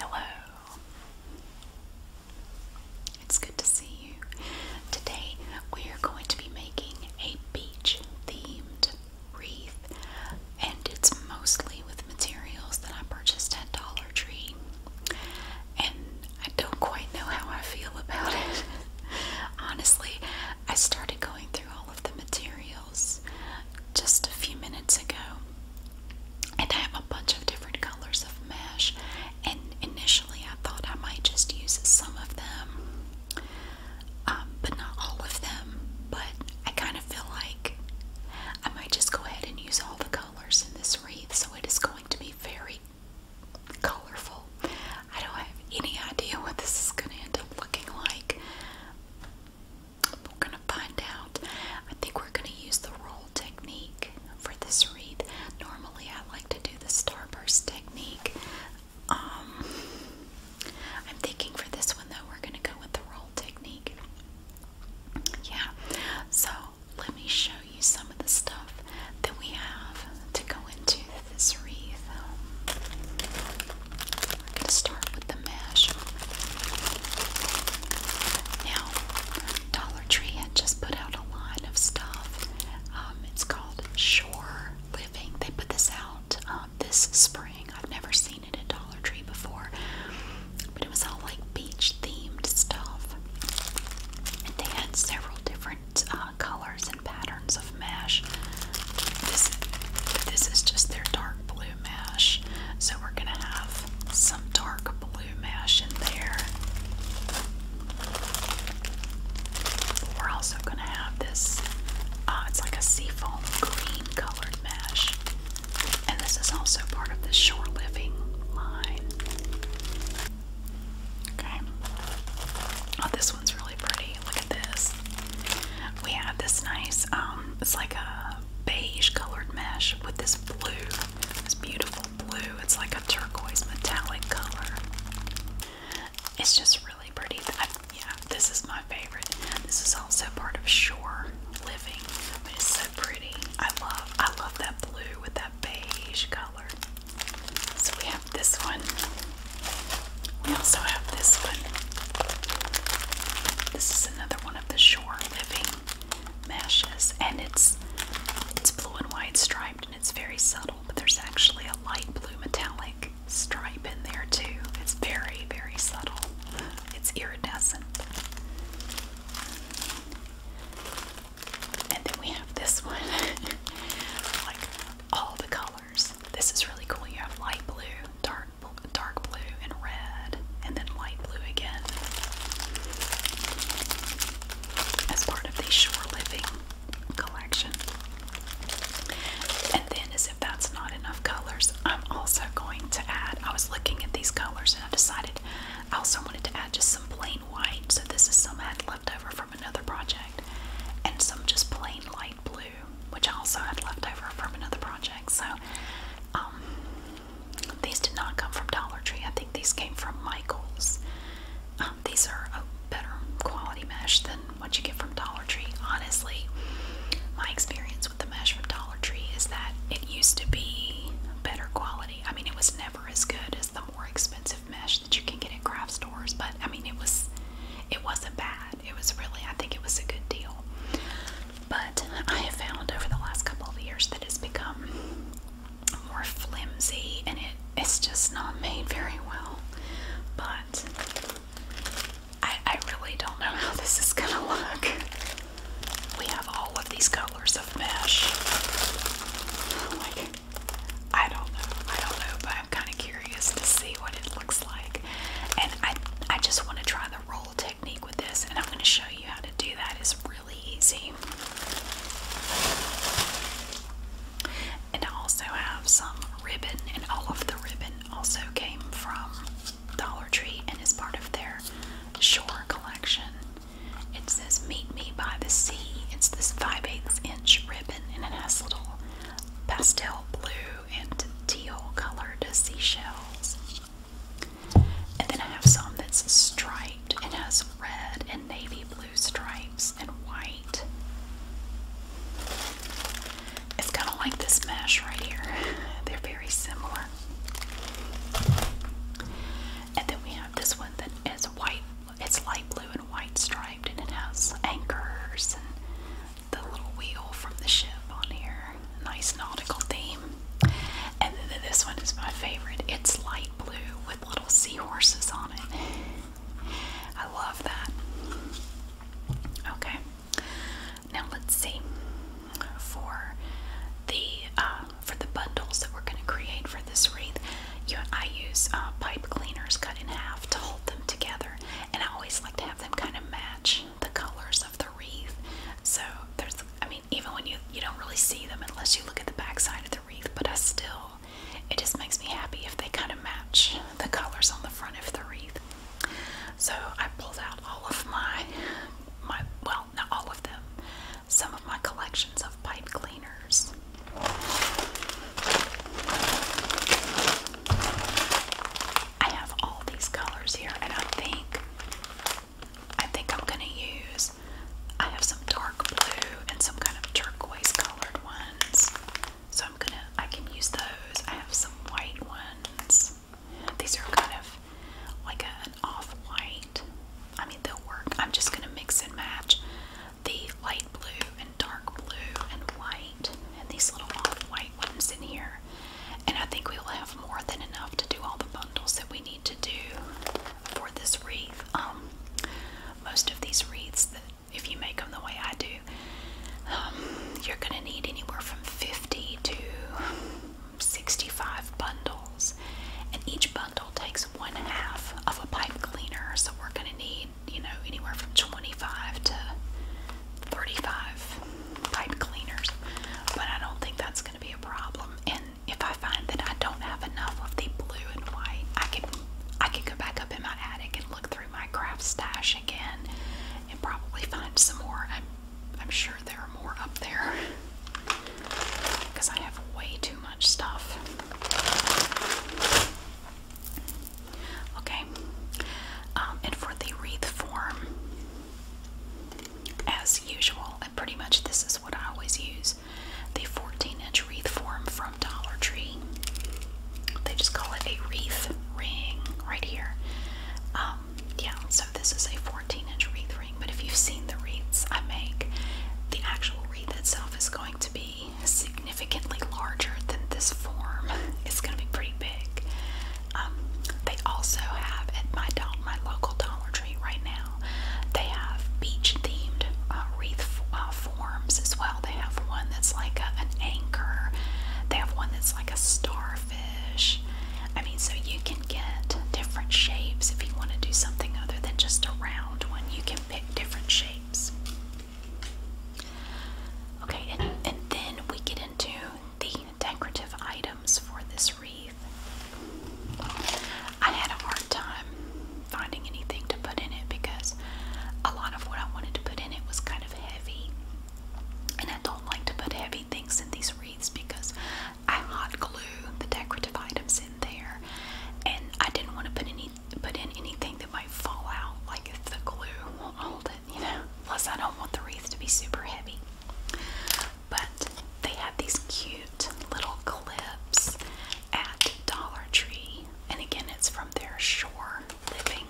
Hello. It's good to see you. Today we are going to be making a beach themed wreath and it's mostly with materials that I purchased at Dollar Tree. And I don't quite know how I feel about it. Honestly, I started going through all of the materials just a few minutes ago and I have a bunch of different colors of mesh and initially I thought I might just use some of them um, but not all of them but I kind of feel like I might just go ahead and use all the colors in this wreath so it is going to be very colorful. I don't have any idea what this is going to end up looking like we're going to find out. I think we're going to use the roll technique for this wreath. Normally, I like to do the starburst technique. Um, I'm thinking for this one, though, we're going to go with the roll technique. Yeah, so let me show you some of the stuff that we have to go into this wreath. We're um, going to start with the mash. Now, Dollar Tree had just put out a line of stuff. Um, it's called Shore Living. They put this out um, this spring. I've never seen it at Dollar Tree before, but it was all like beach themed stuff. And they had several different uh, colors and patterns of mash. This, this is just their dark blue mesh. So we're going to have some dark blue mesh in there. we're also going to have this, uh, it's like a seafoam green colored mesh. And this is also part of the shore living line. Okay. Oh, this one's really pretty. Look at this. We have this nice, um, it's like a beige colored mesh with this blue, this beautiful blue. It's like a turquoise metallic color. It's just really pretty. yeah, this is my favorite. This is also part of Shore Living, it's so pretty. I love, I love that blue with that beige color. So we have this one. We also have this one. This is another one of the Shore Living meshes, and it's it's blue and white striped, and it's very subtle. But there's actually a light blue metallic stripe in there too. It's very very subtle. It's iridescent. And then we have this one, like all the colors. This is really cool. You have light blue, dark dark blue and red, and then light blue again as part of the Shore Living collection. And then, as if that's not enough colors, I'm also going to add. I was looking at these colors and I decided I also wanted to add just some plain white. So, this is some I had leftover from another project, and some just plain light blue, which I also had leftover from another project. So, um, these did not come from Dollar Tree. I think these came from Michael's. Um, these are a better quality mesh than what you get from Dollar Tree. Honestly, my experience with the mesh from Dollar Tree is that it used to be better quality. I mean, it was never as good as the more expensive mesh that you can get at craft stores, but I mean, it was it wasn't bad. It was really, I think it was a good deal. But I have found over the last couple of years that it's become more flimsy and it, it's just not made very well. But I, I really don't know how this is going to look. We have all of these colors of mesh. I don't know. I don't know, but I'm kind of curious to see what it looks like. And I, I just want to try the roll technique with this, and I'm going to show you how to do that. It's and I also have some ribbon, and all of the ribbon also came from Dollar Tree and is part of their Shore collection. It says Meet Me by the Sea. It's this 5 8 inch ribbon, and it has little pastel blue and teal colored seashells. And then I have some that's striped and has red and navy blue stripes and white. It's kind of like this mesh right here. They're very similar. And then we have this one that is white, it's light blue and white striped, and it has anchors and the little wheel from the ship on here nice nautical theme. And then this one is my favorite. It's light blue with little seahorses on it. I love that. Okay, now let's see for the uh, for the bundles that we're going to create for this wreath. I use uh, pipe cleaners cut in half to hold them together, and I always like to have them kind of match the colors of the wreath. So there's, I even when you you don't really see them unless you look at the backside of the wreath, but I still it just makes me happy if they kind of match the colors on the front of the wreath. So I pulled out all of my my well, not all of them, some of my collections of pipe cleaners. I have all these colors here, and I think I think I'm gonna use. I have some dark blue and some kind of turquoise colored ones, so I'm gonna. I can use those. I have some white ones. These are kind of like an off-white. I mean, they'll work. I'm just gonna mix and match the light blue and dark blue and white, and these little off-white ones in here. And I think we will have more than enough to do all the bundles that we need to do for this wreath. Um, most of these wreaths, if you make them the way I do, um, you're going to need anywhere from 50 to 65 bundles, and each bundle takes one half of a pipe cleaner. So we're going to need, you know, anywhere from 25 to 35 pipe cleaners, but I don't think that's going to be a problem if I find that I don't have enough of the blue and white, I can I can go back up in my attic and look through my craft stash again and probably find some more. I'm I'm sure there are more up there because I have way too much stuff. Okay, um, and for the wreath form, as usual, uh, pretty much this is what I always use the 14 inch wreath form from Dollar Tree. They just call it a wreath ring right here. Um, yeah, so this is a 14 inch wreath ring, but if you've seen the wreaths I make, the actual wreath itself is going to be significantly larger than this form. It's going to be pretty big. Um, they also have at my, do my local Dollar Tree right now. They have beach themed uh, wreath uh, forms as well. They have one that's like a, an anchor, they have one that's like a starfish. I mean, so you can get different shapes if you want to do something other than just a round one. You can pick different shapes. Okay, and then we get into the decorative items for this wreath. I had a hard time finding anything to put in it because a lot of what I wanted to put in it was kind of heavy. And I don't like to put heavy things in these wreaths because I hot glue the decorative items in there. And I didn't want to put any put in anything that might fall out, like if the glue won't hold it, you know. Plus I don't want the wreath to be super heavy. But they had these cute little clips at Dollar Tree, and again, it's from their Shore Living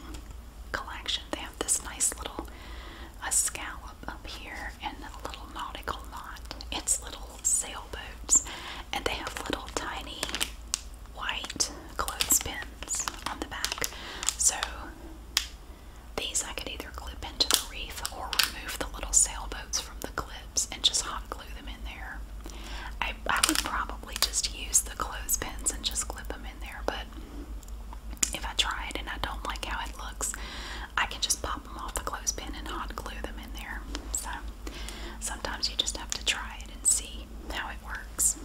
collection. They have this nice little a scallop up here and a little nautical knot. It's little sailboats, and they have little tiny white clothespins on the back. So these I could either either clip into the wreath or remove the little sailboats from the clips and just hot glue them in there. I, I would probably just use the clothespins and just clip them in there, but if I try it and I don't like how it looks, I can just pop them off the clothespin and hot glue them in there. So sometimes you just have to try it and see how it works.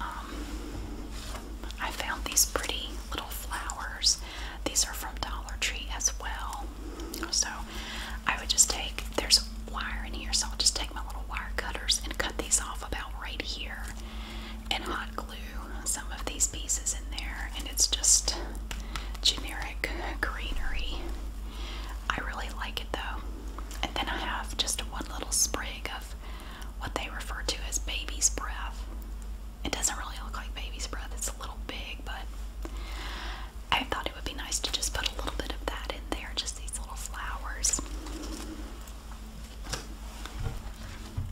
Um, I found these pretty little flowers these are from Dollar Tree as well. So I would just take there's wire in here, so I'll just take my little wire cutters and cut these off about right here and hot glue some of these pieces in there and it's just generic greenery. I really like it though. And then I have just one little sprig of what they refer to as baby's breath. It doesn't really look like baby's breath, it's a little big, but I thought it would be nice to just put a little bit of that in there, just these little flowers.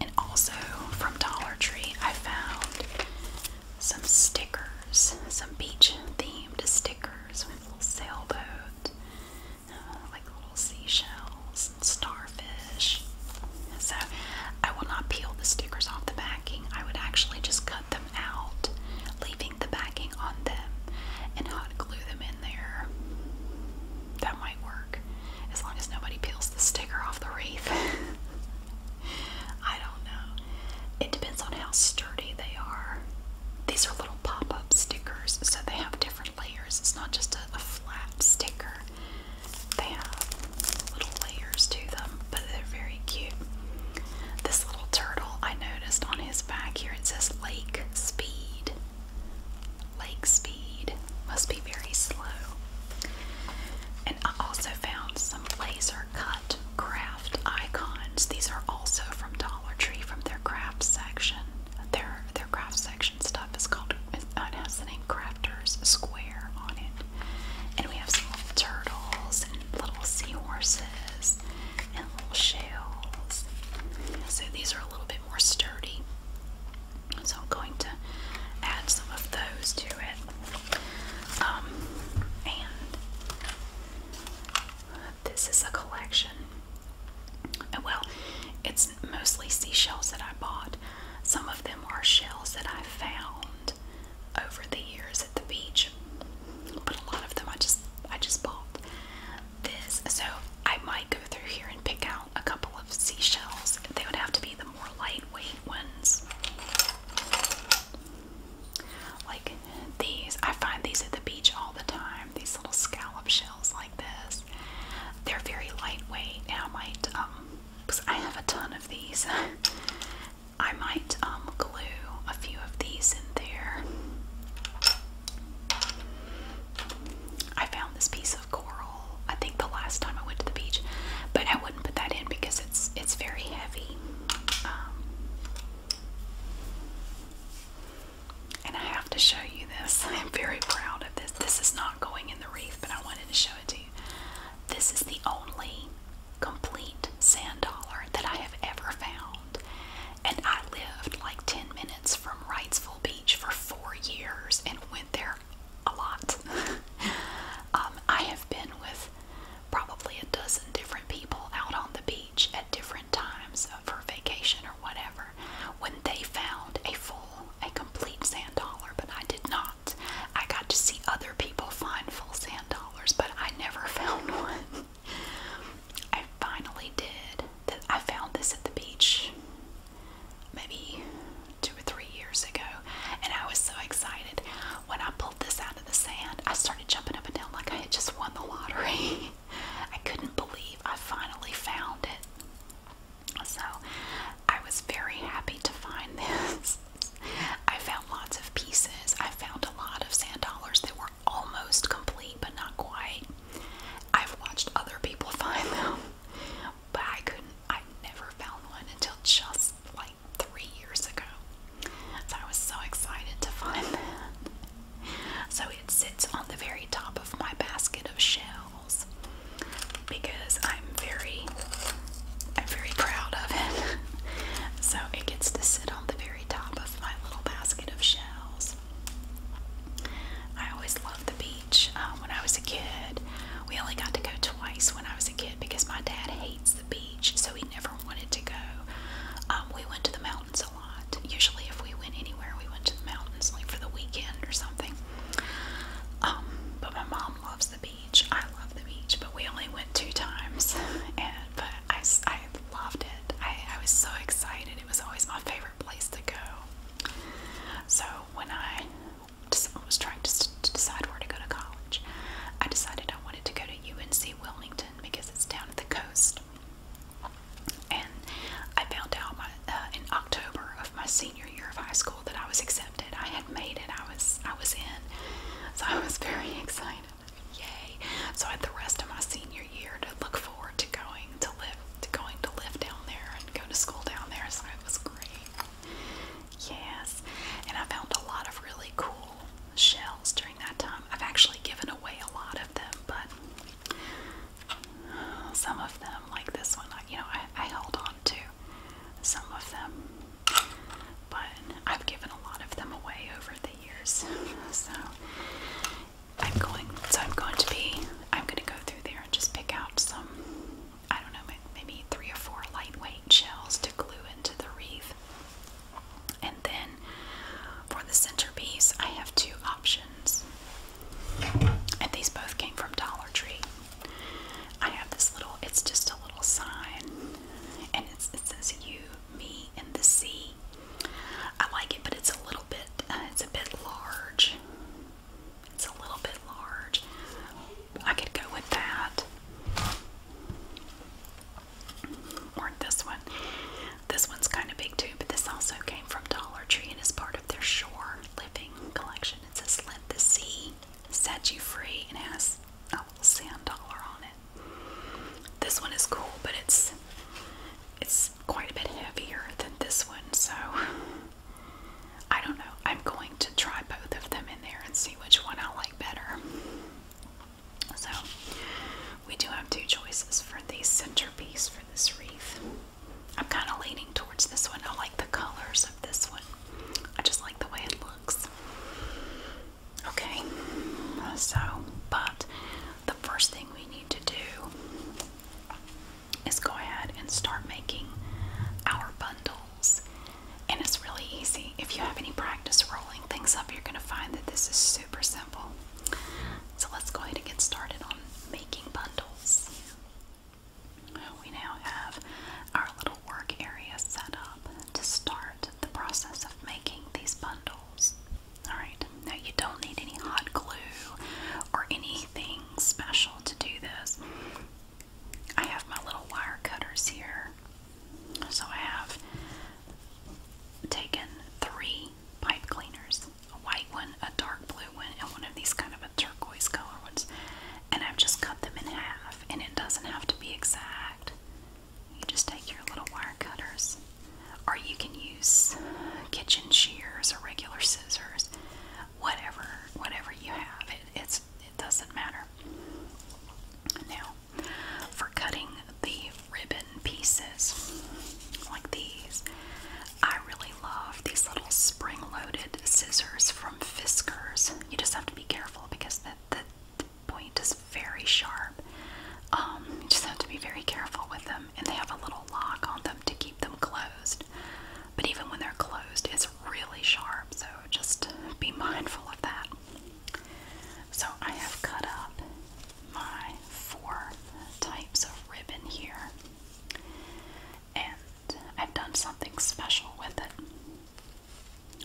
And also from Dollar Tree, I found some stickers, some beach themed stickers with little sailboat, uh, like little seashells and stars. So I will not peel the stickers off the backing. I would actually just cut them out, leaving the backing on them, and hot glue them in there. That might work as long as nobody peels the sticker off the wreath. I don't know. It depends on how sturdy they are. These are little pop up stickers, so they have different layers. It's not just a flat sticker, they have little layers to them, but they're very cute. This little turtle I noticed on his back here it says Lake Speed. Lake Speed must be very slow. And I also found some laser cut craft icons. These are also from Dollar Tree from their craft section. Their their craft section stuff is called uh, it the name Crafters Square on it. And we have some little turtles and little seahorses and little shells. So these are a little bit more sturdy. So I'm going to add some of those to it. Um, and this is a collection. Oh, well, it's mostly seashells that I bought. Some of them are shells that I found over the years at the beach. But a lot of them I just I just bought this. So I might go through here and pick out a couple of seashells. They would have to be the more lightweight ones. Like these. I find these at the beach all the time. These little scallop shells like this. They're very lightweight and I might um because I have a ton of these. I might um, glue a few of these in there. I found this piece of coral. I think the last time I went to the beach, but I wouldn't put that in because it's it's very heavy. Um, and I have to show you this. I'm very proud of this. This is not going in the reef, but I wanted to show it to you. This is the only complete sand dollar that I have ever found. And I lived like 10 minutes from Wrightsville Beach for four years and went there a lot. Um, I have been with probably a dozen different people out on the beach at different times for vacation or whatever when they found a full, a complete sand dollar, but I did not. I got to see other people find full sand dollars, but I never found one. I finally did. That I found this at the beach maybe two or three years ago, and I was so excited. When I pulled this out of the sand, I started jumping up and down like I had just won the lottery. I couldn't believe I finally found it. So I was very happy to find this. I found lots of pieces. I found a lot of sand dollars that were almost complete but not quite. I've watched other people find them, but I couldn't, I never found one until just like three years ago. So I was so excited to find that. So it sits on the very top of my basket of shells because I'm very I'm very proud of it. so it gets to sit on the very top of my little basket of shells. I always loved the beach. Uh, when I was a kid, we only got to go twice when I was a kid because my dad hates the beach, so he never wanted to go. Um, we went to the mountains a lot. Usually, if we went anywhere, we went to the mountains like for the weekend or something. Um, but my mom loves the beach beach. I love the beach, but we only went two times, and but I, I loved it. I, I was so excited. It was always my favorite place to go. So when I was trying to, to decide where to go to college, I decided I wanted to go to UNC Wilmington because it's down at the coast. And I found out my, uh, in October of my senior year of high school school that I was accepted. I had made it. I was I was in. So I was very excited. Yay. So I had the rest of my senior year to look forward to going to live to going to live down there and go to school down there. So it was great. Yes. And I found a lot of really cool shells during that time. I've actually given away a lot of them, but some of them, like this one, I, you know, I, I held on to some of them. But I've given a lot of them away over the years. So I'm going so I'm going to be I'm gonna go through there and just pick out some I don't know maybe three or four lightweight shells to glue into the wreath. And then for the centerpiece I have two options. And these both came from Dollar Tree. I have this little it's just a little sign and it says you, me, and the sea. I like it, but it's a little bit, uh, it's a bit large. It's a little bit large. I could go with that. Or this one. This one's kind of big too, but this also came from Dollar Tree and is part of their shore living collection. It says, Let the sea set you free, and it has a sand dollar on it. This one is cool, but it's it's quite a bit heavier than this one, so I don't know. I'm going to try both of them in there and see which one I like better. So we do have two choices for the centerpiece for this wreath. I'm kind of leaning towards this one. I like the colors of this one. I just like the way it looks. Okay, so, but the first thing we need to do is go ahead and start making our bundles. And it's really easy. If you have any practice rolling things up, you're going to find that this is super simple. So let's go ahead and get started on making bundles. We now have our little work area set up to start the process of making these bundles. Alright, now you don't need any hot glue or anything special to do this. I have my little wire cutters here. So I have taken three pipe cleaners a white one, a dark blue one, and one of these kind of a turquoise color And I've just cut them in half, and it doesn't have to be exact you just take your little wire cutters, or you can use kitchen shears or regular scissors, whatever, whatever you have. It, it doesn't matter. Now, for cutting the ribbon pieces like these, I really love these little spring-loaded scissors from Fiskars. You just have to be careful because the, the point is very sharp. Um, you just have to be very careful with them, and they have a little lock on them to keep them closed. But even when they're closed, it's really sharp, so just be mindful of that. So I have cut up my four types of ribbon here, and I've done something special with it.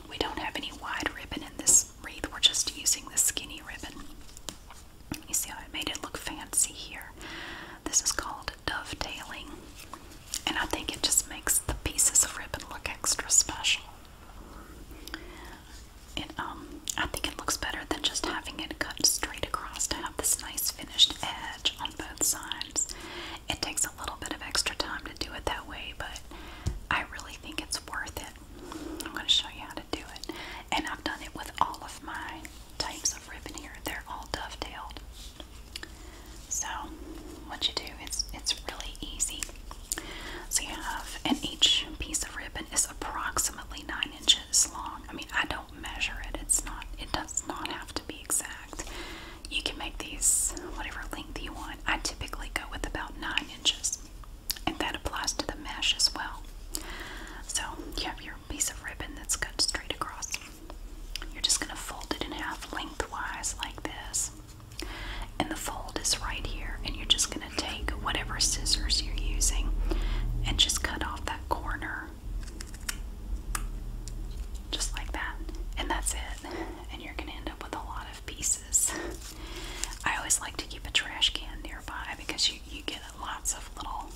We don't have any wide ribbon in this wreath. We're just using the skinny ribbon. You see how I made it look fancy here? This is called dovetailing. And I think it just makes the pieces of ribbon look extra special. It, um, I think it looks better than just having it cut straight across to have this nice finished edge on both sides. It takes a little bit of extra time to do it that way, but I really think it's worth it. I'm going to show you how to do it. And I've done it with all of my types of ribbon here. They're all dovetailed. So what you do is it's really easy. So you have, and each piece of ribbon is approximately nine inches long. I mean, I don't measure it. It's not. It does not have to be exact. You can make these whatever length you want. I typically go with about 9 inches, and that applies to the mesh as well. So you have your piece of ribbon that's cut straight across. You're just going to fold it in half lengthwise, like this. And the fold is right here, and you're just going to take whatever scissors you're using and just cut off that corner. Just like that. And that's it. And you're going to end up with a lot of pieces places. I always like to keep a trash can nearby because you, you get lots of little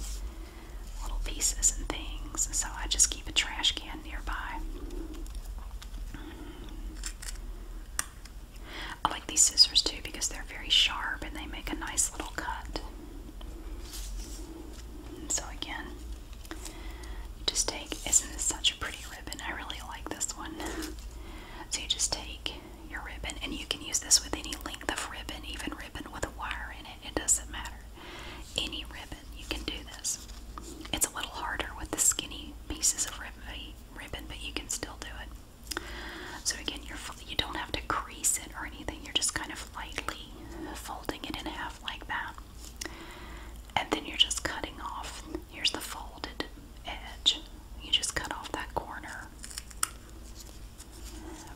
little pieces and things. So I just keep a trash can nearby. I like these scissors too because they're very sharp and they make a nice little cut. And so again, you just take, isn't this such pretty ribbon. I really like this one. so you just take your ribbon, and you can use this with any length of ribbon, even ribbon with a wire in it. It doesn't matter. Any ribbon, you can do this. It's a little harder with the skinny pieces of ribbon, eh, ribbon but you can still do it. So again, you're you don't have to crease it or anything. You're just kind of lightly folding it in half like that. And then you're just cutting off. Here's the folded edge. You just cut off that corner.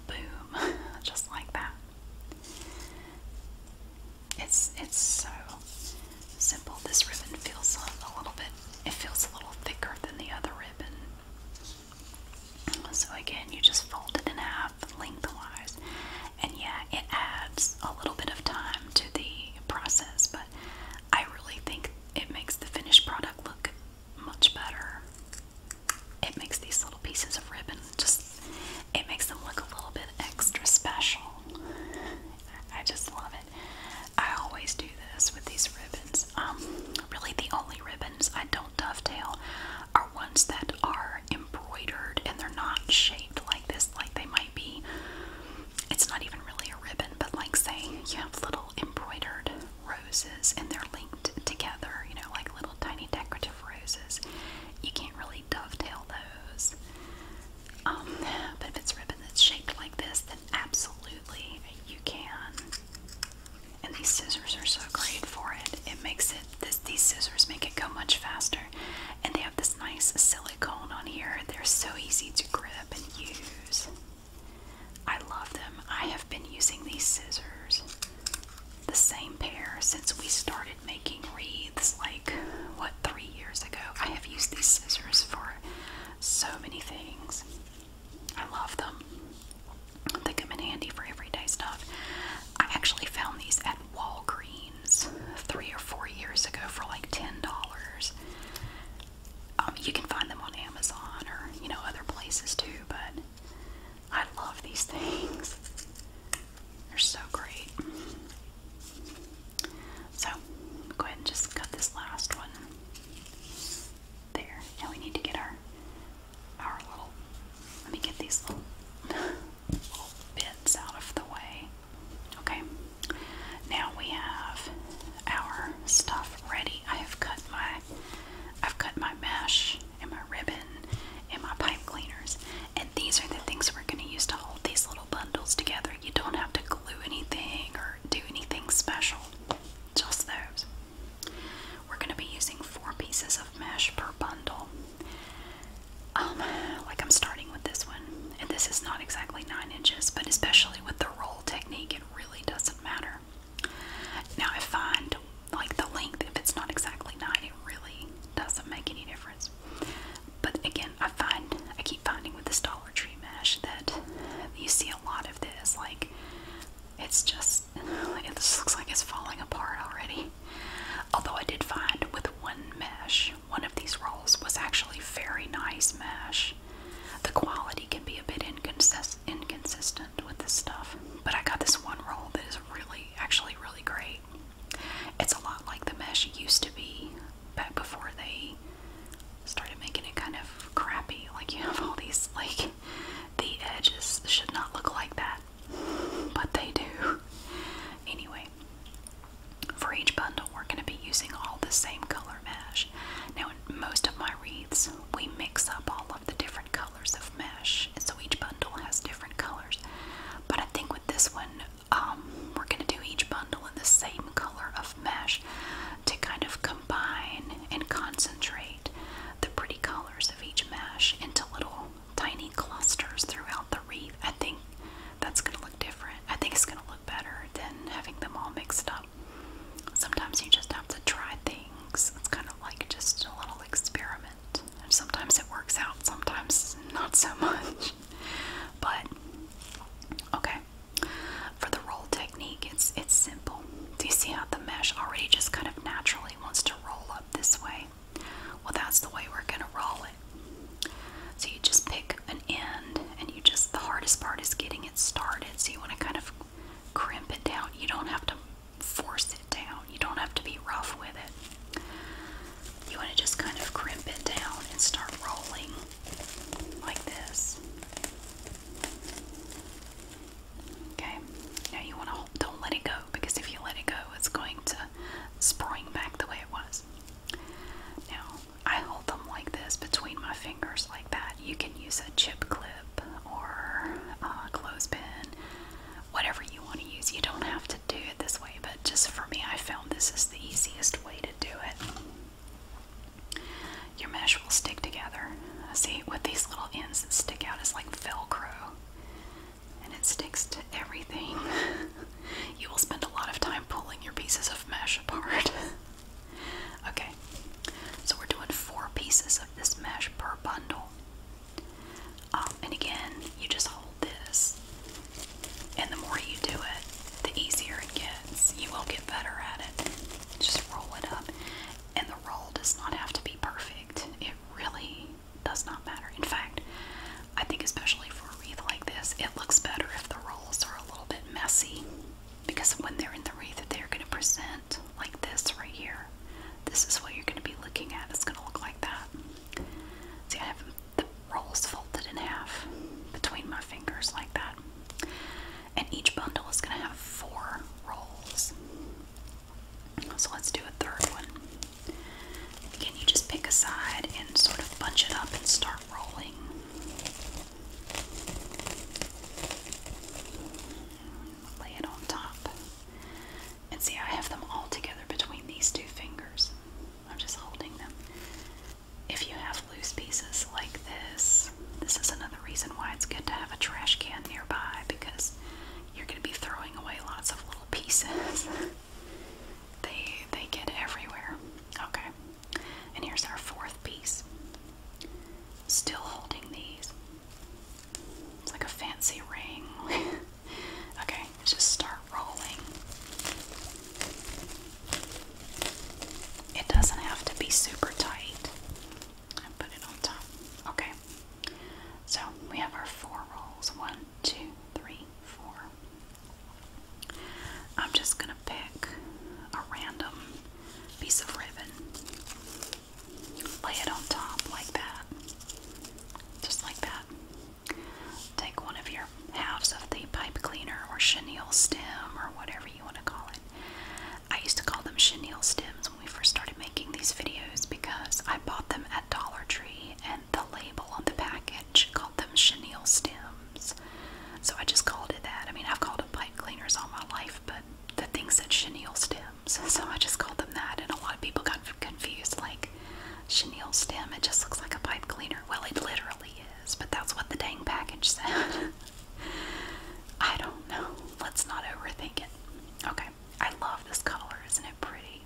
Boom. just like that. It's it's so simple. This ribbon feels a, a little bit it feels a little thicker than the other ribbon. So again, you just fold it in half lengthwise. And yeah, it adds a little bit of time to the process, but I really think it makes the finished product look much better. It makes these little pieces of ribbon just, it makes them look a little bit extra special. I just love it. I always do this with these ribbons. Um, really, the only ribbons I don't dovetail are ones that are embroidered and they're not shaped like this, like they might it's not even really a ribbon, but like say you have little embroidered roses and they're linked together, you know, like little tiny decorative roses. You can't really dovetail those. Um, but if it's ribbon that's shaped like this, then absolutely you can. And these scissors are so great for it. It makes it these scissors make it go much faster. And they have this nice silicone on here. They're so easy to grip and use. I love them. I have been using these scissors, the same pair, since we started making wreaths like, what, three years ago. I have used these scissors for so many things. I love them. They come in handy for everyday stuff. I actually found these at Walgreens three or four years ago for like $10. Um, you can find them on Amazon or you know other places too. But I love these things; they're so great. So go ahead and just cut this last one there. Now we need to get our our little. Let me get these little bits out of the way. Okay, now we have our stuff ready. I have cut my I've cut my mesh and my ribbon and my pipe cleaners. And these are the things we're gonna use to hold these little bundles together. You don't have to glue anything or do anything special. Just those. We're gonna be using four pieces of mesh per bundle. Um, like I'm starting with this one. And this is not exactly 9 inches, but especially with the roll technique, it really doesn't matter. Now, I find like the length, if it's not exactly 9, it really doesn't make any difference. But again, I find I keep finding with this Dollar Tree mesh that you see a lot of this. Like, it's just, this looks like it's falling apart already. Although I did find with one mesh, one of these rolls was actually very nice mesh. The quality can be a bit inconsistent with this stuff, but I got this one roll that is really, actually, really great. It's a lot like the mesh used to be back before they started making it kind of crappy. Like, you have all these, like, the edges should not look like that, but they do. Anyway, for each bundle, we're going to be using all the same color mesh. Now, in most of my wreaths, we mix up all of the different colors of mesh, and so each bundle has different colors. But I think with this one, um, we're going to do each bundle in the same color of mesh to kind of combine and concentrate the pretty colors of each mesh into little tiny clusters throughout the wreath. I think that's going to look different. I think it's going to look better than having them all mixed up sometimes you just have to try things. It's kind of like just a little experiment. sometimes it works out, sometimes not so much. But okay. For the roll technique, it's it's simple. Do you see how the mesh already just kind of naturally wants to roll up this way? Well, that's the way we're going to roll it. So you just pick an end and you just, the hardest part is getting it started. So you want to kind of crimp it down. You don't have to force it down. You don't have to be rough with it. You want to just kind of crimp it down and start rolling like this. Okay, now you want to don't let it go because if you let it go, it's going to spring back the way it was. Now, I hold them like this between my fingers, like that. You can use a chip clip or a clothespin, whatever you want to use. You don't have to do it this way, but just for me, I found this is the easiest way to do it. Your mesh will stick together. See, with these little ends that stick out, it's like Velcro, and it sticks to everything. you will spend a lot of time pulling your pieces of mesh apart. Okay, so we're doing four pieces of this mesh per bundle. Um, and again, you just hold this, and the more you do it, the easier it gets. You will get better at it. Just roll it up, and the roll does not have to be perfect. It really does not matter. In fact, I think especially for a wreath like this, it looks better if the rolls are a little bit messy because when they're in the wreath, they're going to present like this right here. This is what you're going to be looking at. It's going to look like that. See, I have the rolls folded in half between my fingers like that. And each bundle is going to have four rolls. So let's do a third one. Again, you just pick a side and sort of bunch it up and start rolling. Lay it on top. And see, I have them all together between these two fingers. I'm just holding them. If you have loose pieces like this, this is another reason why it's good to have a trash can nearby because you're going to be throwing away lots of little pieces. they they get everywhere. Okay. And here's our fourth piece. Still holding these. It's like a fancy ring. okay, just start rolling. It doesn't have to be super tight. I put it on top. Okay. So we have our four rolls. One, two, three, four. I'm just gonna pick a random piece of ribbon. Lay it on top like that. Just like that. Take one of your halves of the pipe cleaner or chenille stem or whatever you want to call it. I used to call them chenille stems when we first started making these videos because I bought them at Dollar Tree and the label on the package called them chenille stem. So I just called it that. I mean, I've called them pipe cleaners all my life, but the thing said chenille stems, so I just called them that. And a lot of people got confused, like chenille stem. It just looks like a pipe cleaner. Well, it literally is, but that's what the dang package said. I don't know. Let's not overthink it. Okay. I love this color. Isn't it pretty?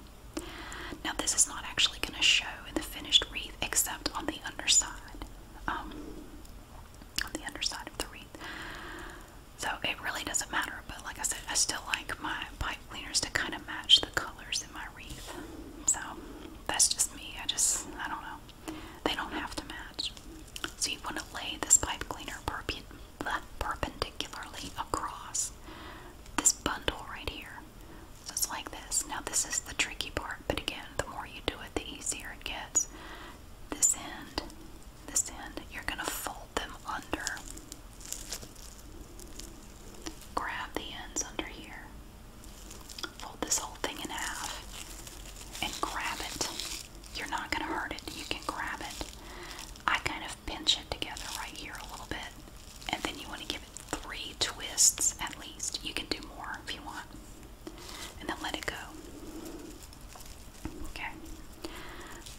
Now, this is not actually going to show in the finished wreath except on the underside. Um, on the underside of the wreath. So it really doesn't matter, but like I said, I still like my pipe cleaners to kind of match the colors in my wreath. So that's just me. I just, I don't know. They don't have to match. So you want to lay this pipe cleaner perp perpendicularly across this bundle right here. So it's like this. Now, this is the tricky part, but again, the more you do it, the easier it gets this end, this end, you're going to fold them under. Grab the ends under here. Fold this whole thing in half and grab it. You're not going to hurt it. You can grab it. I kind of pinch it together right here a little bit. And then you want to give it three twists at least. You can do more if you want and then let it go. Okay.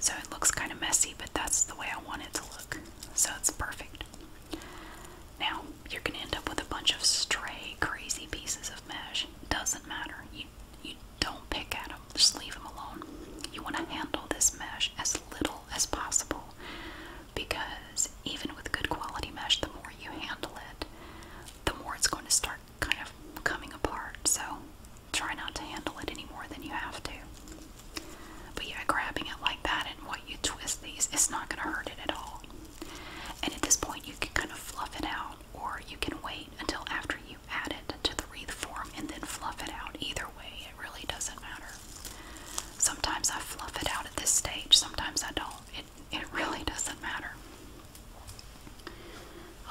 So it looks kind of messy, but that's the way I want it to look. So it's perfect. Now, you're going to end up with a bunch of stray, crazy pieces of mesh. Doesn't matter. You, you don't pick at them, just leave them alone. You want to handle this mesh as little as possible because even with good quality mesh, the more you handle it, the more it's going to start kind of coming apart, so try not to handle it any more than you have to. But yeah, grabbing it like that and what you twist these, it's not going to hurt it at all. And at this point, you can kind of fluff it out, or you can wait until after you add it to the wreath form and then fluff it out. Either way, it really doesn't matter. Sometimes I fluff it out at this stage, sometimes I don't. It, really doesn't matter.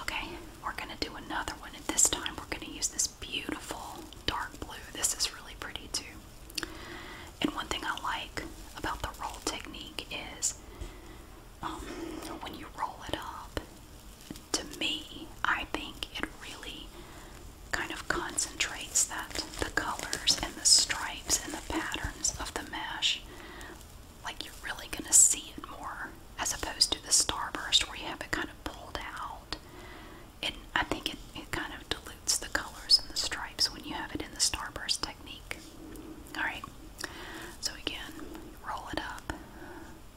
Okay, we're going to do another one. And this time, we're going to use this beautiful dark blue. This is really pretty too. And one thing I like about the roll technique is um, when you roll it up, to me, I think it really kind of concentrates that the colors and the stripes and the patterns of the mesh like you're really going to see it more as opposed to the starburst where you have it kind of pulled out. And I think it, it kind of dilutes the colors and the stripes when you have it in the starburst technique. Alright, so again, roll it up.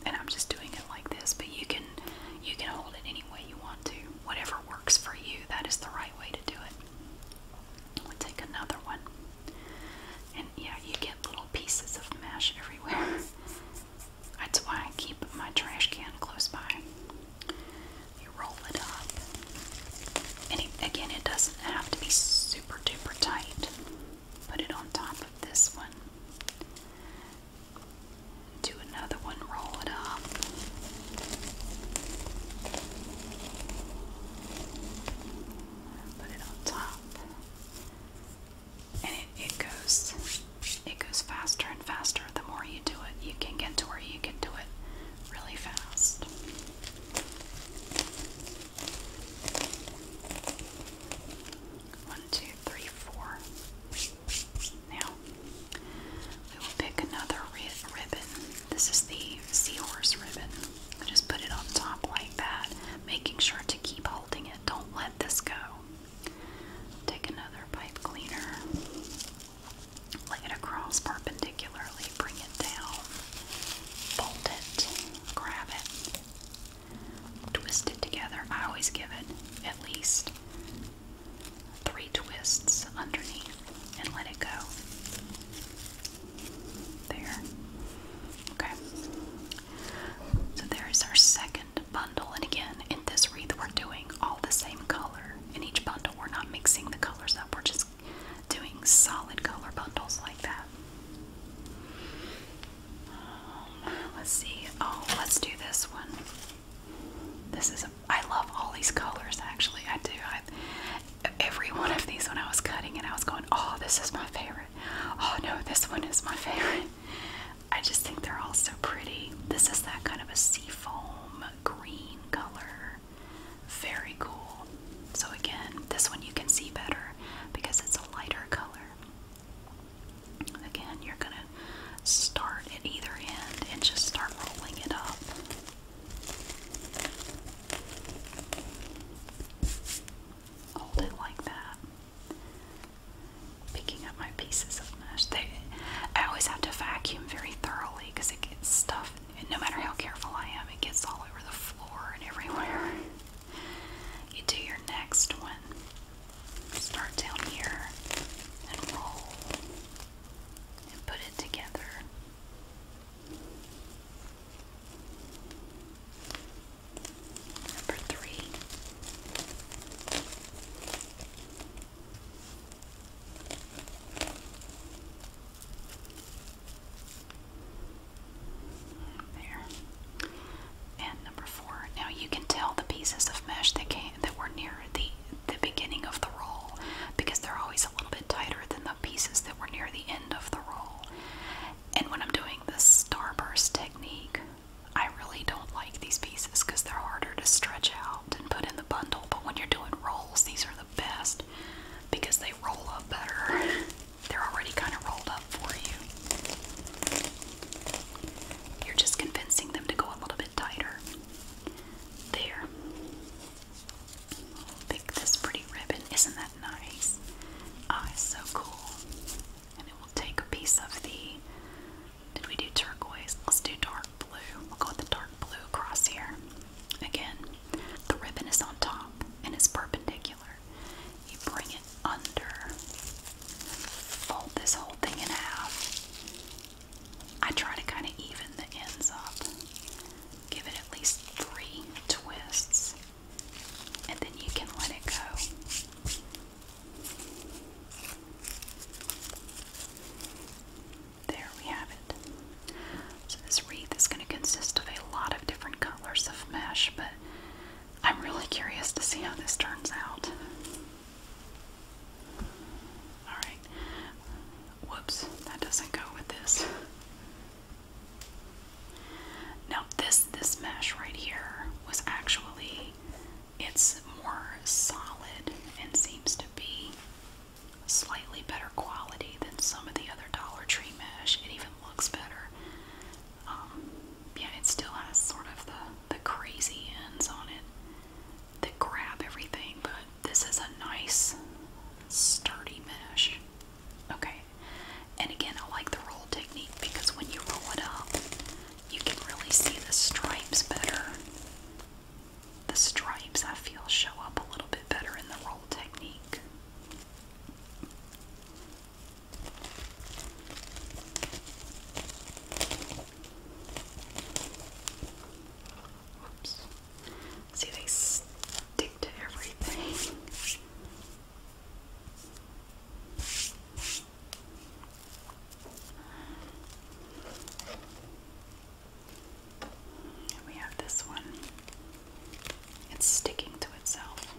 And I'm just doing it like this, but you can you can hold it any way you want to. Whatever works for you, that is the right way to do it. we take another one. And yeah, you get little pieces of mash everywhere. That's why I keep my trash can close by. You roll it up. And again, it doesn't have to be super duper tight. Put it on top of this one. Do another one, roll it up. Put it on top. And it, goes it goes faster and faster. The more you do it, you can get to where you can do it really fast. One, two, three, four. Now we will pick another ribbon. This is the seahorse ribbon. I just put it on top like that, making sure to keep holding it. Don't let this go. Take another pipe cleaner, lay it across perpendicularly, bring it down, bolt it, grab it, twist it together. I always give it at least three twists underneath and let it go. There. Okay. So there is our second bundle. And again, in this wreath, we're doing all the same color. In each bundle, we're not mixing the colors up. We're just doing solid color bundles like that. Um, let's see. Oh, let's do this one. This is I love all these colors. Actually, I do. I, every one of these when I was cutting and I was going, oh, this is my favorite. Oh, no, this one is my favorite. I just think they're all so pretty. This is that kind of a seafoam green color. Very cool. So, again, this one you can see better because it's a lighter color. Again, you're going to start at either end and just start rolling it up hold it like that. Picking up my pieces of mesh. I always have to vacuum very thoroughly because it gets stuff, and no matter how careful I am, it gets all over the floor and everywhere. You do your next one. Start down here and roll and put it together. Number three. There. And number four. Now you can tell the pieces of mesh that came that were near the the beginning of the roll because they're always a little bit tighter than the pieces that were near the end of the roll. And when I'm doing the starburst technique, I really don't like these pieces because they're harder to stretch out and put in the bundle. But when you're doing rolls, these are the best because they roll up better. They're already kind of rolled up for you. You're just convincing them to go a little bit tighter. There. Pick this pretty ribbon. Isn't that nice? Ah, so cool. And it will take a piece of the. Did we do turquoise? Let's do dark blue. We'll go with the dark blue across here. Again, the ribbon is on top and it's perpendicular. You bring it under, fold this whole thing in half. I try to kind of even the ends up, give it at least three twists, and then you can let it go. There we have it. So, this wreath is going to consist of a lot of different colors of mesh, but I'm really curious to see how this turns out. Alright. Whoops, that doesn't go with this. Now this this mesh right here was actually it's more solid and seems to be slightly better quality than some of the other Dollar Tree mesh. It even looks better. Um, yeah, it still has sort of the the crazy ends on it that grab everything, but this is a nice sturdy mesh. Okay, and again, I like the roll technique because when you roll it up, you can really see the stripes better. The stripes, I feel, show up a little bit better in the roll technique. Oops. See, they stick to everything we have this one. It's sticking to itself.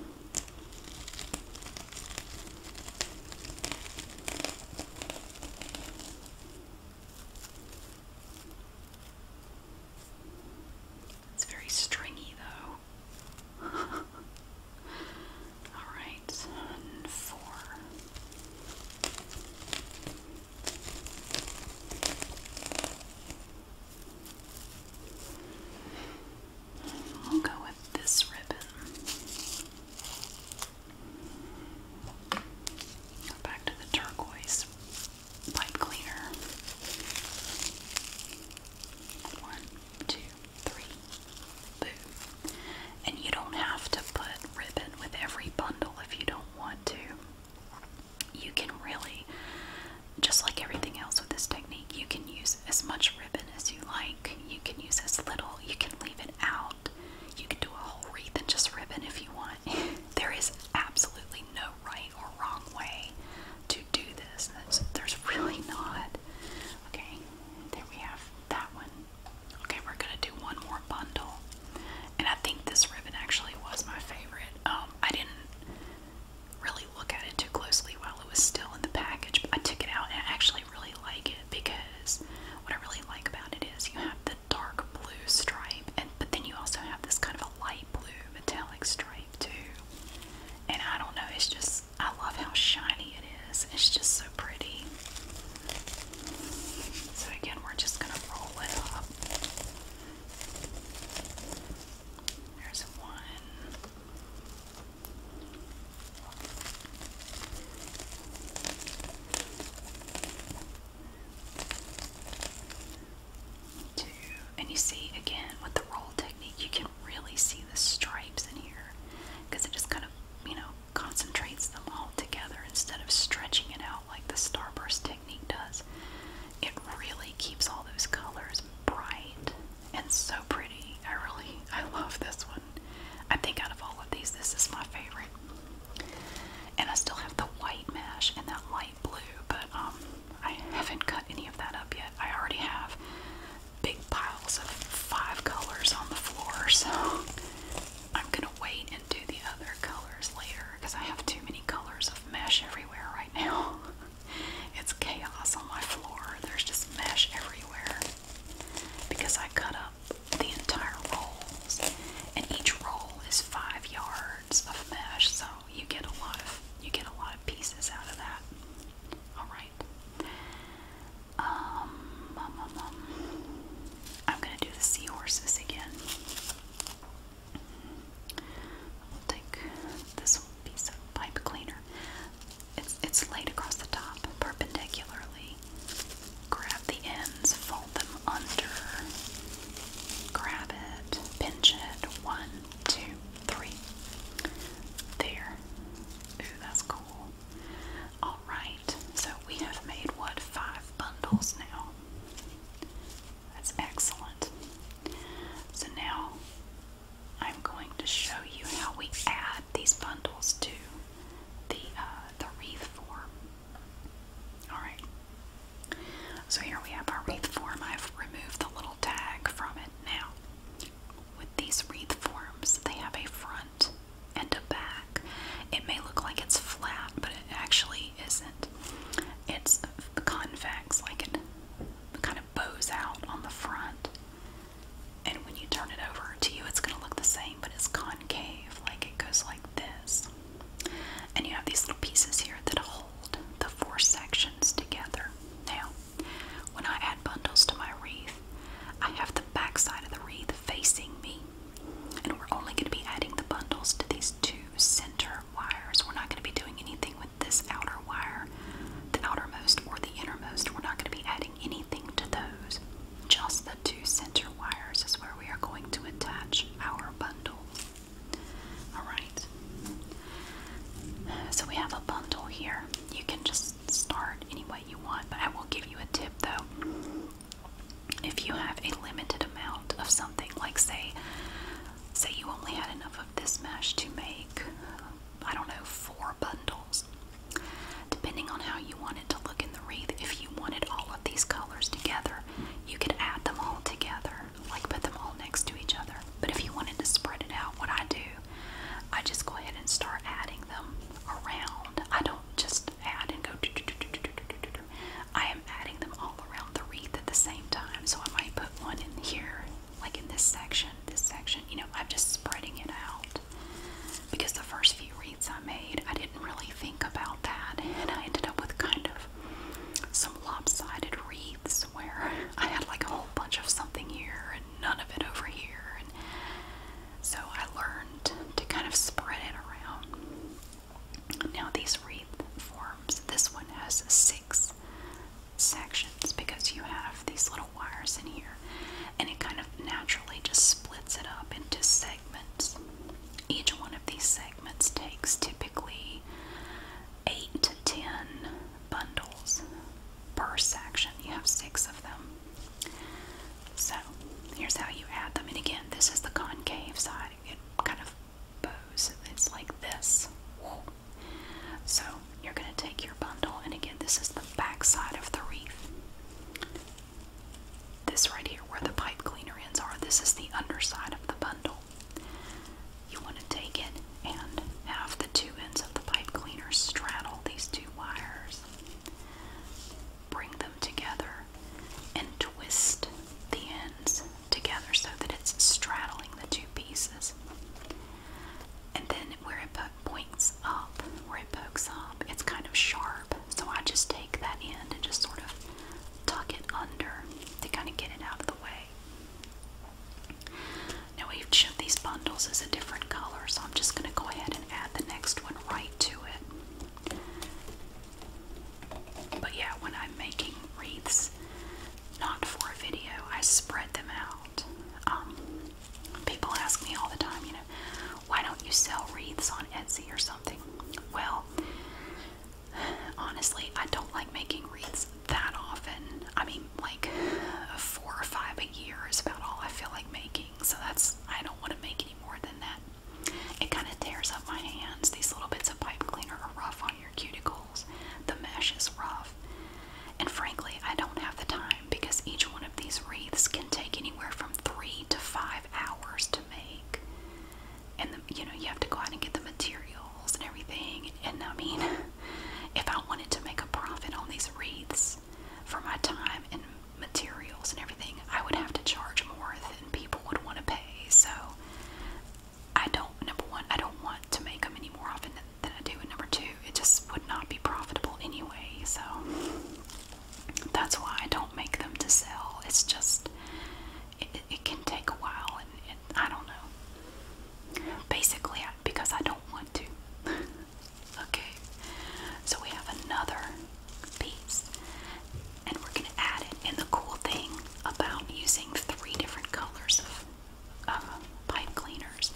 It's very stringy, though. All right, four. I'll go with this ribbon. Go back to the turquoise pipe cleaner. One two, And you don't have to put ribbon with every bundle if you don't want to. You can really, just like everything else with this technique, you can use as much ribbon as you like. You can use as little. You can leave it out. You can do a whole wreath and just ribbon if you want. there is absolutely no right or wrong way. To do this. That's, there's really not. Okay, there we have that one. Okay, we're gonna do one more bundle, and I think this ribbon actually was my favorite. Um, I didn't really look at it too closely while it was still in the package, but I took it out and I actually really like it because what I really like about it is you have the dark blue stripe, and but then you also have this kind of a light blue metallic stripe too. And I don't know, it's just I love how shiny it is. It's just so pretty. So again, we're just going to roll it up. There's one. Two. And you see again with the roll technique, you can really see the stripes in here because it just kind of, you know, concentrates them all together instead of stretching it out like the starburst technique does. It really keeps all those colors bright and so pretty. I really, I love this one. I think out of all of these, this is my favorite. And I still have the white mesh and that light blue, but um, I haven't cut any of that up yet. I already have big piles of five colors on the floor, so I'm gonna wait and do the other colors later because I have too many colors of mesh everywhere right now. It's chaos on my floor. There's just mesh everywhere because I cut up the entire rolls, and each roll is five yards of mesh, so you get a lot of you get a lot of pieces out of that. Alright. Um, um, um, um, I'm going to do the seahorses again. We'll take this piece of pipe cleaner. It's, it's laid across the top perpendicularly. Grab the ends, fold them under, grab it, pinch it. One, two, three. There. Ooh, that's cool. Alright, so we have made what? Five bundles now. That's excellent. So now I'm going to show you how we add these bundles to the uh, the wreath form. Alright. So here we have our wreath form. I've removed the little tag from it now. With these wreath forms, they have a front and a back. It may look like it's flat, but it actually isn't. It's convex, like it kind of bows out on the front. And when you turn it over to you, it's going to look the same, but it's concave, like it goes like this. And you have these little pieces here that hold the four sections together. Now, when I add bundles to my wreath, I have the back of the wreath facing me. And we're only going to be adding the bundles to these two center wires. We're not going to be doing anything with this outer wire, the outermost or the innermost. We're not going to be adding anything to those. Just the two center wires is where we are going to attach our bundle. Alright. So we have a bundle here. You can just start any way you want, but I will give you a tip though. If you have a limited amount of something, like say, say you only had enough of this mesh to make, I don't know, four bundles. Depending on how you wanted to look in the wreath, if you wanted all of these colors together, you could add them all together, like put them all next to each other. But if you wanted to spread it out, what I do I just go ahead and start adding them around. I don't just add and go. Do, do, do, do, do, do, do, do. I am adding them all around the wreath at the same time. So I might put one in here, like in this section, this section. You know, I'm just spreading it out because the first few wreaths I made, I didn't really think about that, and I ended up with kind of some lopsided wreaths where I had like a whole bunch of something here none of it over here. so I learned to kind of spread it around. Now, these wreath forms, this one has six sections because you have these little wires in here, and it kind of naturally just splits it up into segments. Each one of these segments takes typically eight to ten bundles per section. You have six of them. So here's how you add them. And again, this is the concave side. It kind of bows. It's like this. So you're going to take your bundle, and again, this is the back side of the wreath. This right here, where the pipe cleaner ends are, this is the underside of the bundle. You want to take it and have the two ends of the pipe cleaner straddle these two wires. Bring them together and twist the ends together so that it's straddling the two pieces. And then where it points up, where it pokes up, it's kind of sharp. So I just take that end and just sort of tuck it under to kind of get it out of the way. Now each each of these bundles is a different color, so I'm just going to go ahead and add the next one right to it. But yeah, when I'm making wreaths, not for a video, I spread them out. Um, people ask me all the time, you know, why don't you sell wreaths on Etsy or something? Well, honestly, I don't like making wreaths that often. I mean, like four or five a year is about all I feel like making. So that's I don't want to make any more than that. It kind of tears up my hands. These little bits of pipe cleaner are rough on your cuticles. The mesh is rough. And frankly, I don't have the time because each one of these wreaths can take anywhere from three to five hours to make. And you know, you have to go out and get the materials and everything. And I mean, if I wanted to make a profit on these wreaths, because for my time and materials and everything, I would have to charge more than people would want to pay. So I don't, number one, I don't want to make them any more often than, than I do. And number two, it just would not be profitable anyway. So that's why I don't make them to sell. It's just, it, it can take a while and, and I don't know. Basically, I, because I don't want to. Okay, so we have another piece, and we're going to add it. And the cool thing about using three different colors of, of pipe cleaners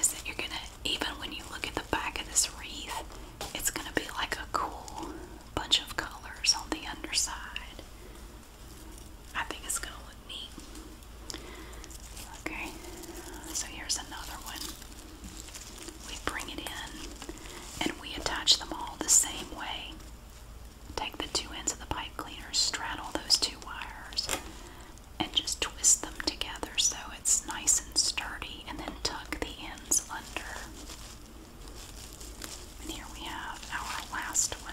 is that you're going to, even when you look at the back of this wreath, it's going to be like a cool bunch of colors on the underside. I think it's going to look neat. Okay, so here's another one. We bring it in and we attach them all the same way. Take the two ends of the pipe cleaner, straddle those two wires, and just twist them together so it's nice and sturdy, and then tuck the ends under. And here we have our last one.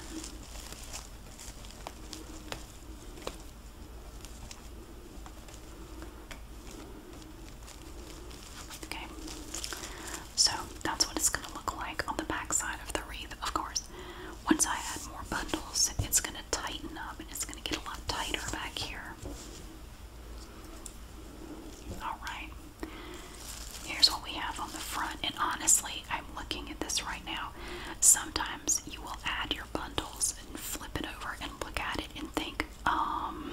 Okay, so that's what it's going to look like on the back side of the wreath, of course. Once I add more bundles, it's going to tighten up and it's going to get a lot tighter back here. Alright, here's what we have on the front, and honestly, I'm looking at this right now. Sometimes you will add your bundles and flip it over and look at it and think, um,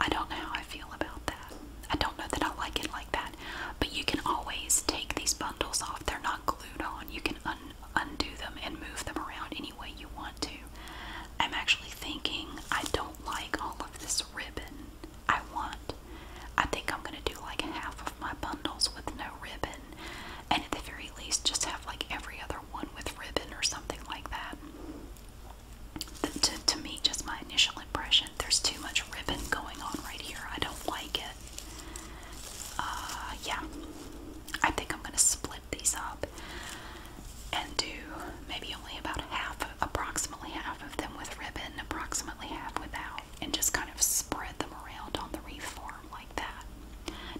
I don't know how I feel about that. I don't know that I like it like that. But you can always take these bundles off, they're not glued on. You can undo them and move them around any way you want to. I'm actually thinking, I don't like all of this ribbon. I want. I think I'm gonna do like half of my bundles with no ribbon, and at the very least, just have like every other one with ribbon or something like that. to, to me, just my initial impression, there's too much ribbon going on right here. I don't like it. Uh, yeah, I think I'm going to split these up and do maybe only about half, approximately half of them with ribbon, approximately half without, and just kind of spread them around on the wreath form like that.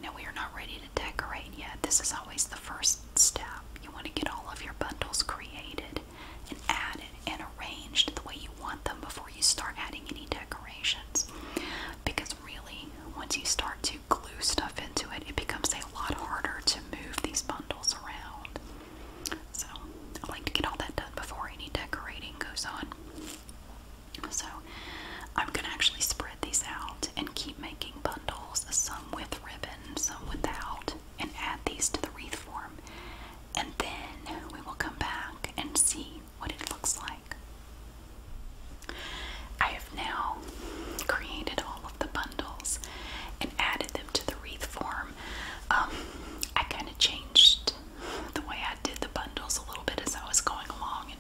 Now we are not ready to decorate yet. This is always the first step. You want to get all of your bundles created and added and arranged the way you want them before you start adding any decorations. Because really, once you start to glue stuff into it, it becomes a lot harder to move these bundles around. So I like to get all that done before any decorating goes on. So I'm going to actually spread these out and keep making bundles, some with ribbon, some without, and add these to the wreath form. And then we will come back and see what it looks like. I have now created all of the bundles and added them to the wreath form. Um, I kind of changed the way I did the bundles a little bit as I was going along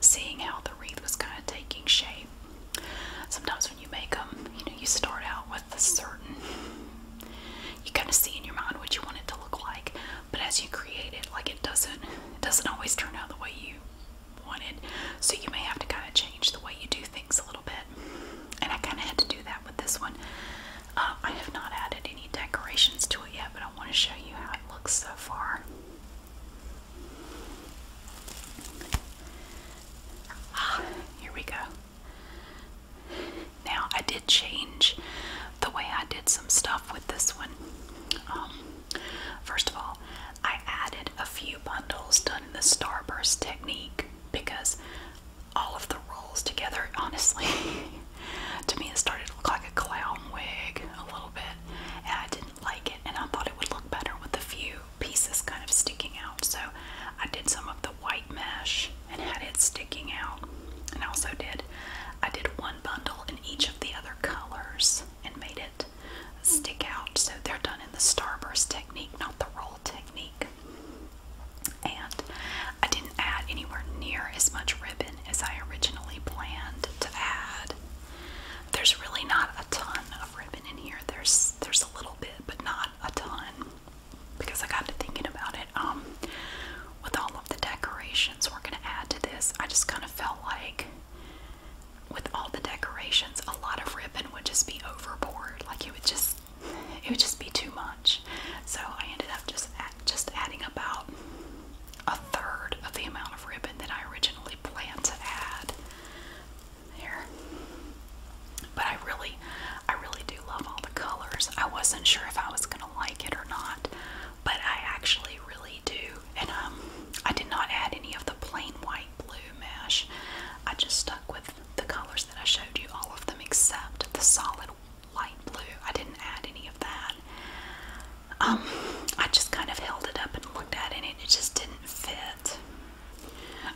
seeing how the wreath was kind of taking shape. Sometimes when you make them, you know, you start out with a certain, you kind of see in your mind what you want it to look like, but as you create it, like it doesn't, it doesn't always turn out the way you wanted. So you may have to kind of change the way you do things a little bit. And I kind of had to do that with this one. Um, I have not added any decorations to it yet, but I want to show you how it looks so far. Ah, here we go. Now, I did change the way I did some stuff with this one. Um, first of all, I added a few bundles done in the starburst technique because all of the rolls together, honestly, to me it started to look like a clown wig a little bit. And I like it and I thought it would look better with a few pieces kind of sticking out. So I did some of the white mesh and had it sticking out. And also did I did one bundle in each of the other colors and made it stick out. So they're done in the starburst technique, not the roll technique. And I didn't add anywhere near as much ribbon as I originally planned to add. There's really not a ton of ribbon in here. There's there's a little bit, but not a ton. Because I got to thinking about it. Um, with all of the decorations we're gonna add to this, I just kind of felt like with all the decorations, a lot of ribbon would just be overboard. Like it would just it would just be too much. So I ended up just just adding about a third of the amount of ribbon that I originally planned to add there. But I really, I really do love all the colors. I wasn't sure if I was gonna like it or not, but I actually really do. And um, I did not add any of the plain white blue mesh. I just stuck with the colors that I showed you, all of them except the solid light blue. I didn't add any of that um, I just kind of held it up and looked at it and it just didn't fit.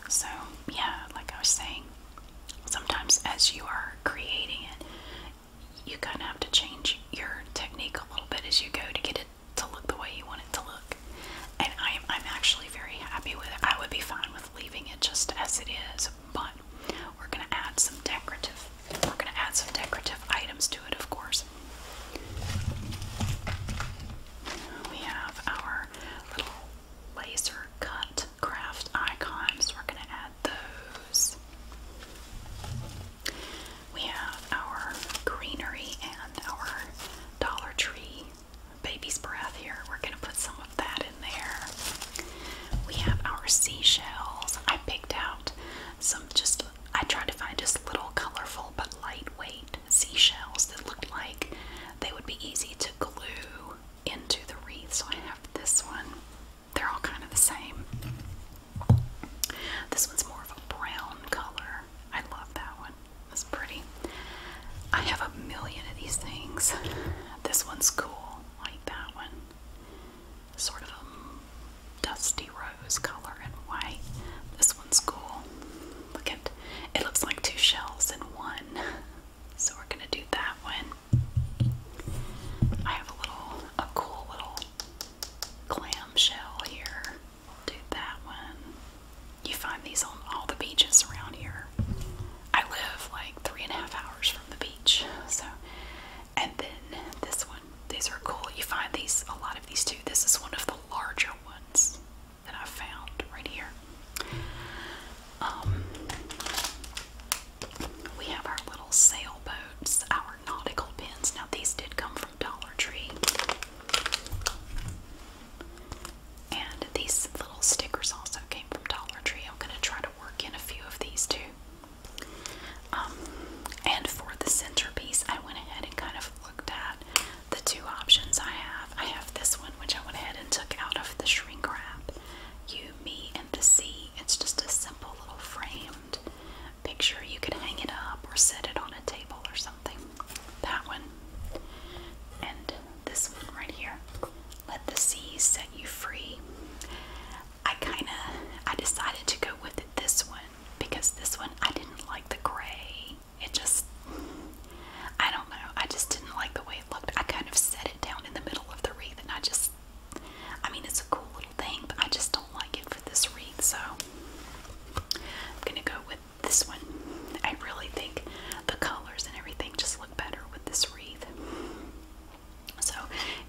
So, yeah, like I was saying, sometimes as you are creating it, you kind of have to change your technique a little bit as you go to get it to look the way you want it to look. And I'm, I'm actually very happy with it. I would be fine with leaving it just as it is, but we're going to add some decorative, we're going to add some decorative items to it, of course. We have our little laser cut craft icons. We're going to add those. We have our greenery and our Dollar Tree baby's breath here. We're going to put some of that in there. We have our seashells. I picked out some just I tried to find just little colorful but lightweight seashells that looked like they would be easy to glue into the wreath. So I have this one. They're all kind of the same. This one's more of a brown color. I love that one. That's pretty. I have a million of these things. This one's cool, like that one. Sort of a dusty rose color and white. This one's cool. Look at it looks like two shells in one. So we're gonna do that one. I have a little a cool little clam shell here. We'll do that one. You find these on all the beaches around here. I live like three and a half hours from the beach. So and then this one these are cool. You find these a lot of these too. This is one of the larger ones that I found right here. Um, we have our little sailboats, our nautical pins. Now these did come from Dollar Tree. And these little stickers also came from Dollar Tree. I'm going to try to work in a few of these too. Um, and for the centerpiece, I went ahead and kind of looked at the two options I have. I have this one, which I went ahead and took out of the shrink wrap. You, me, and the sea. It's just a simple little framed picture. You could hang it up or set it on a table or something. That one. And this one right here. Let the sea set you free. I kind of I decided to go with it this one because this one I didn't like the gray it just, I don't know. I just didn't like the way it looked. I kind of set it down in the middle of the wreath, and I just, I mean, it's a cool little thing, but I just don't like it for this wreath. So I'm gonna go with this one. I really think the colors and everything just look better with this wreath. So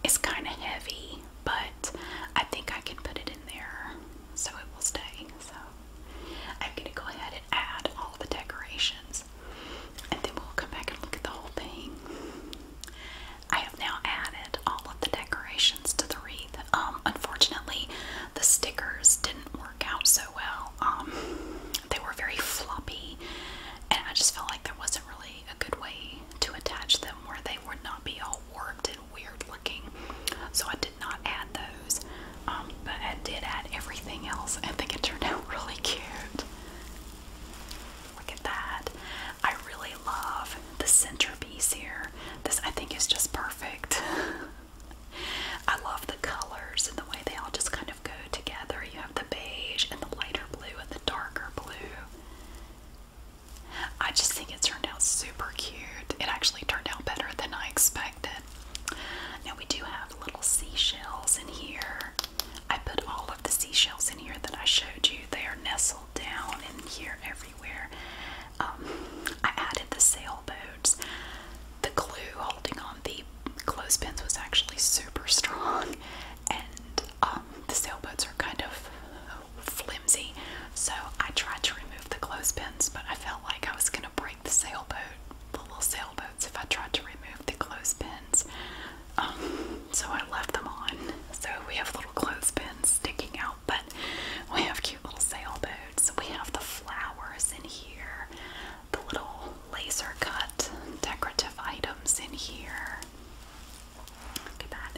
it's kind of heavy, but I think I can put it in there so it will stay. So I'm going to go ahead and add all the decorations and then we'll come back and look at the whole thing. I have now added all of the decorations to the wreath. Um, unfortunately, the stickers didn't work out so well. Um, they were very floppy, and I just felt like there wasn't really a good way to attach them where they would not be all warped and weird looking. So I did not add those, um, but I did add everything else. I think it turned out really cute. Look at that. I really love the centerpiece here. This I think is just perfect. I love the colors and the way they all just kind of go together. You have the beige and the lighter blue and the darker blue. I just think it turned out super cute. It actually turned out better than I expected. Now we do have little seashells in here. I put all of the seashells in here that I showed you. They are nestled down in here everywhere. Um, I added the sailboats. The glue holding on the clothespins was actually super strong, and um, the sailboats are kind of so I tried to remove the clothespins, but I felt like I was going to break the sailboat, little sailboats, if I tried to remove the clothespins. Um, so I left them on. So we have little clothespins sticking out, but we have cute little sailboats. We have the flowers in here, the little laser cut decorative items in here. Look at that.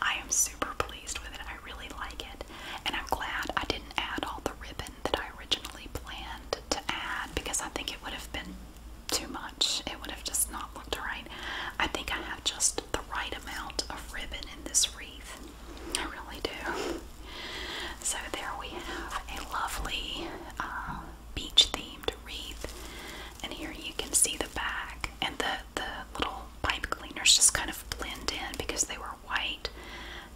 I am super pleased with it. I really like it. And I'm glad I didn't add all the ribbon that I originally planned to add because I think it would have been too much. It would have just not looked right. I think I have just the right amount of ribbon in this wreath. I really do. So there we have a lovely uh, beach themed wreath. And here you can see the back and the the little pipe cleaners just kind of blend in because they were white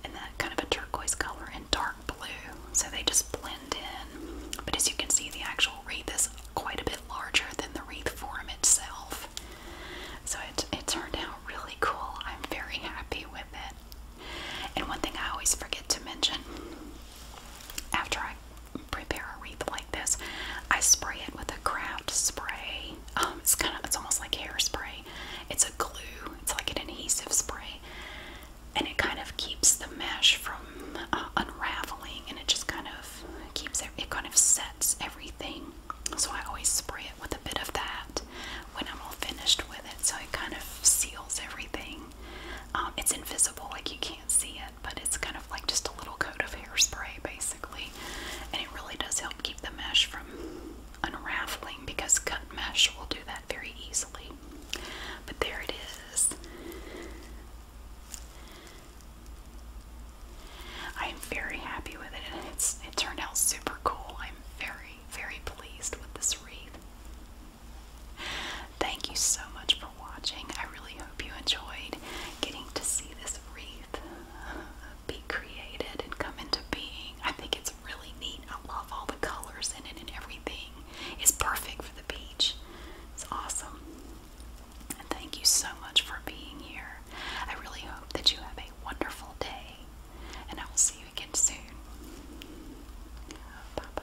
and that kind of a turquoise color and dark blue. So they just blend in. But as you can see, the actual wreath is quite a bit larger than the wreath form itself. So it, it turned out really cool. I'm very happy with it. And one thing I always forget to mention after I prepare a wreath like this, I spray it with a craft spray. Um, it's kind of it's almost like hairspray, it's a glue, it's like an adhesive spray, and it kind of keeps the mesh from uh, unraveling and it just kind of keeps it, it kind of sets everything. So I always spray it with a bit of that when I'm all finished with it, so it kind of seals everything. Um, it's invisible, like you can't see it, but it's kind of like just a little coat of hairspray basically, and it really does help keep the mesh from unraveling because cut mesh will do that very easily. But there it is. I am very happy with it and it's it turned out super cool. I'm very, very pleased with this wreath. Thank you so much for watching. I really hope you enjoyed getting to see this wreath. be created and come into being. I think it's really neat. I love all the colors in it and everything. It's perfect for the beach. It's awesome. And thank you so much for being here. I really hope that you have a wonderful day, and I will see you again soon. Bye bye.